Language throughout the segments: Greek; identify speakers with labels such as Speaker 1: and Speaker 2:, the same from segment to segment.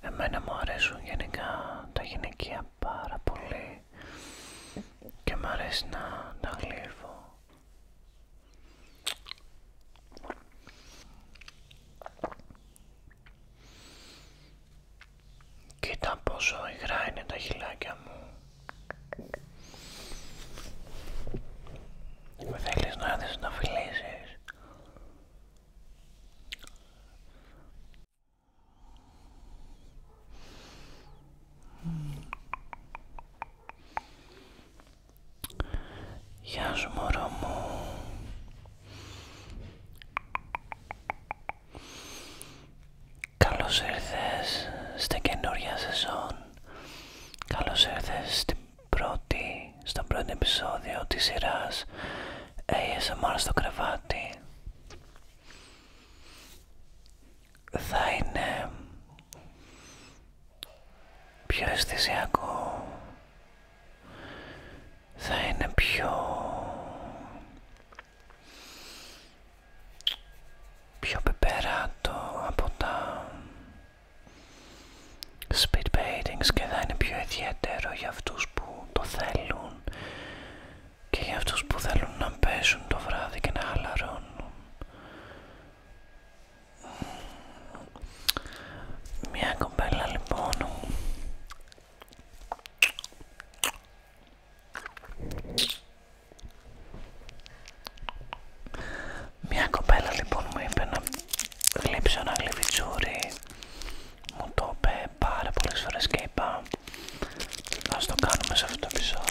Speaker 1: Εμένα μου αρέσουν γενικά τα γυναικεία πάρα πολύ και μου αρέσει να τα γλύφω. Κοίτα πόσο υγρά είναι τα χιλάκια μου. Με θέλεις να έρθεις να φιλήσεις. Γεια σου μωρό μου Καλώς ήρθες στην καινούργια σεζόν Καλώς ήρθες στην πρώτη, στον πρώτο επεισόδιο της σειράς ASMR στο κρεβάτι θα είναι πιο αισθησιακό θα είναι πιο πιο πεπεράτο από τα speed και θα είναι πιο ιδιαίτερο για αυτούς που το θέλουν και για αυτούς που θέλουν να πέσουν το βράδυ και να χαλαρώνουν μια κοπέλα λοιπόν μια κοπέλα λοιπόν μου είπε να γλύψω ένα γλυφιτσούρι μου το είπε πάρα πολλές φορές και είπα ας το κάνουμε σε αυτό το επεισόδιο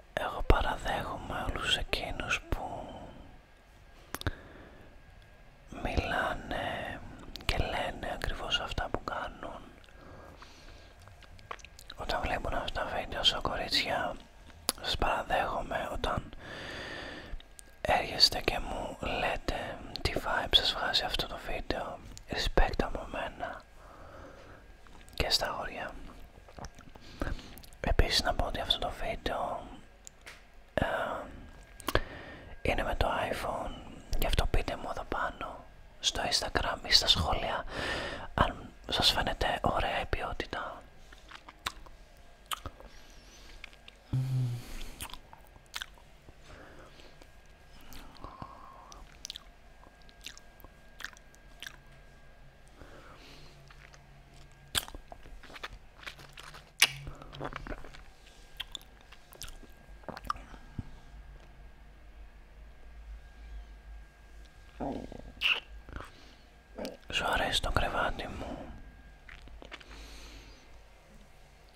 Speaker 1: εγώ παραδέχομαι όλους εκείνους που μιλάνε και λένε ακριβώς αυτά που κάνουν όταν βλέπουν αυτά τα βίντεο σαν κορίτσια σας παραδέχομαι όταν έρχεστε και μου λέτε τι vibe σας βγάζει αυτό το βίντεο respect από μένα και στα όρια. Επίσης να πω ότι αυτό το βίντεο είναι με το iPhone γι' αυτό πείτε μου εδώ πάνω στο Instagram ή στα σχόλια αν σας φαίνεται ωραία η ποιότητα. Σου αρέσει το κρεβάτι μου.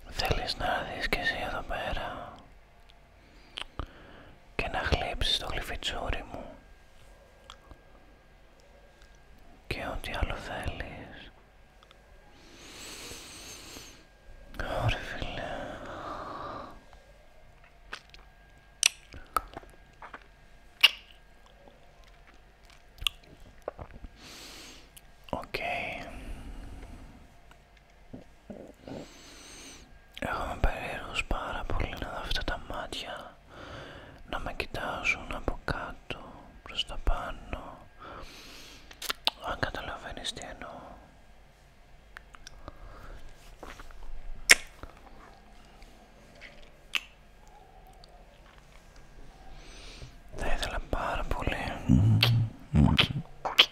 Speaker 1: Θέλεις να δεις και εσύ εδώ πέρα και να χλέψεις το γλυφιτσούρι μου και ό,τι άλλο θέλεις. Ωραία φίλε. Εγώ είμαι πάρα πολύ να δω αυτά τα μάτια να με κοιτάζουν από κάτω προς τα πάνω αν καταλαβαίνεις τι εννοώ θα ήθελα πάρα πολύ mm-hmm. Mm-hmm.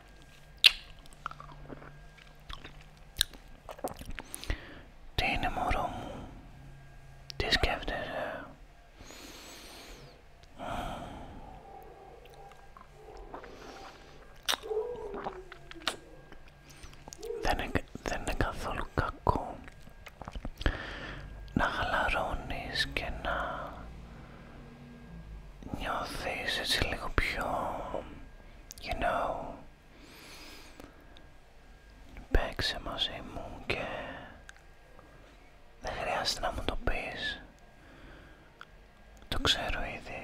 Speaker 1: Τι είναι μωρό μου, τι σκέφτεσαι. Δεν είναι, καθόλου κακό να χαλαρώνεις και να νιώθεις έτσι λίγο πιο you know, παίξε μαζί μου και δεν χρειάζεται να μου το πεις, το ξέρω ήδη.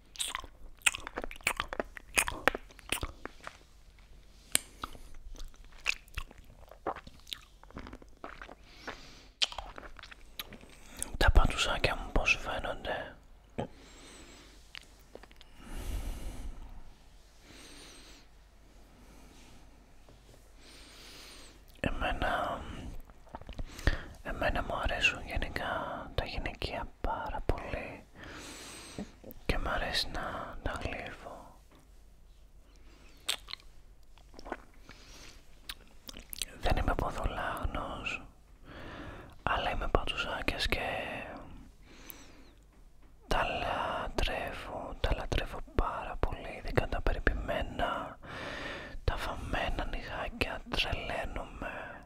Speaker 1: Τα παντουσάκια μου πως φαίνονται Εμένα, εμένα μου αρέσουν γενικά τα γυναικεία πάρα πολύ και μ' αρέσει να τα γλύφω. Δεν είμαι ποδολάγνος, αλλά είμαι πατουσάκιας και τα λατρεύω, τα λατρεύω πάρα πολύ, ειδικά τα περιποιημένα, τα φαμμένα νυχάκια, τρελαίνομαι.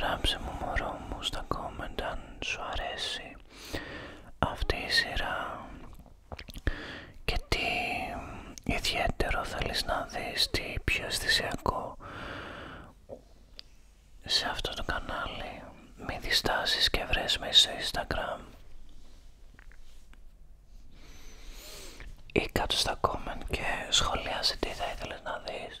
Speaker 1: Ράψε μου μωρό μου στα comment αν σου αρέσει αυτή η σειρά και τι ιδιαίτερο θέλεις να δεις, τι πιο αισθησιακό σε αυτό το κανάλι. Μη διστάσεις και βρες μέσω στο Instagram ή κάτω στα comment και σχολιάσε τι θα ήθελες να δεις.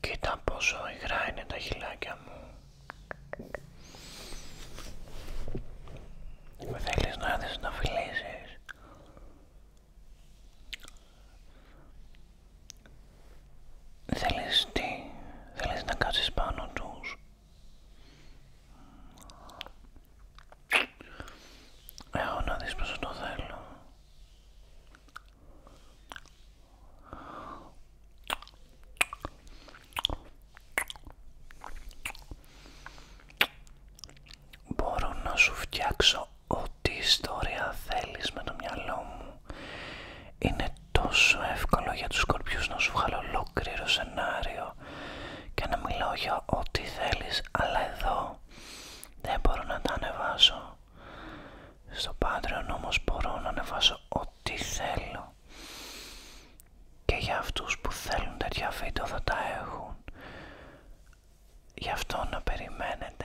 Speaker 1: Κοίτα πόσο υγρά είναι τα χυλάκια μου. Με θέλεις να έρθεις να φιλήσεις. Θέλεις τι, θέλεις να κάσεις πάνω τους. Έχω να δεις το θέλω. Μπορώ να σου φτιάξω ό,τι ιστορία θέλεις με το μυαλό μου. Είναι τόσο εύκολο για τους σκορπιούς να σου βγάλω ολόκληρο σενάριο και να μιλάω για ό,τι θέλεις αλλά εδώ δεν μπορώ να τα ανεβάσω στο Patreon όμως μπορώ να ανεβάσω ό,τι θέλω και για αυτούς που θέλουν τέτοια βίντεο θα τα έχουν γι' αυτό να περιμένετε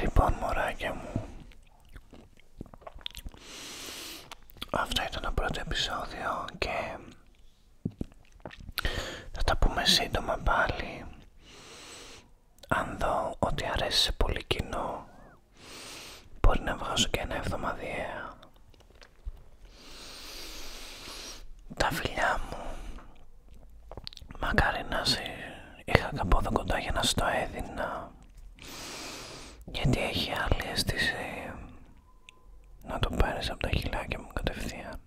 Speaker 1: Λοιπόν μωράκια μου Αυτό ήταν το πρώτο επεισόδιο και θα τα πούμε σύντομα πάλι αν δω ότι αρέσει πολύ κοινό Μπορεί να βγάσω και ένα εβδομαδιαία. Τα φιλιά μου. Μακάρι να σε είχα καπόδο κοντά για να σου έδινα. Γιατί έχει άλλη αίσθηση να το πάρεις από τα και μου κατευθείαν.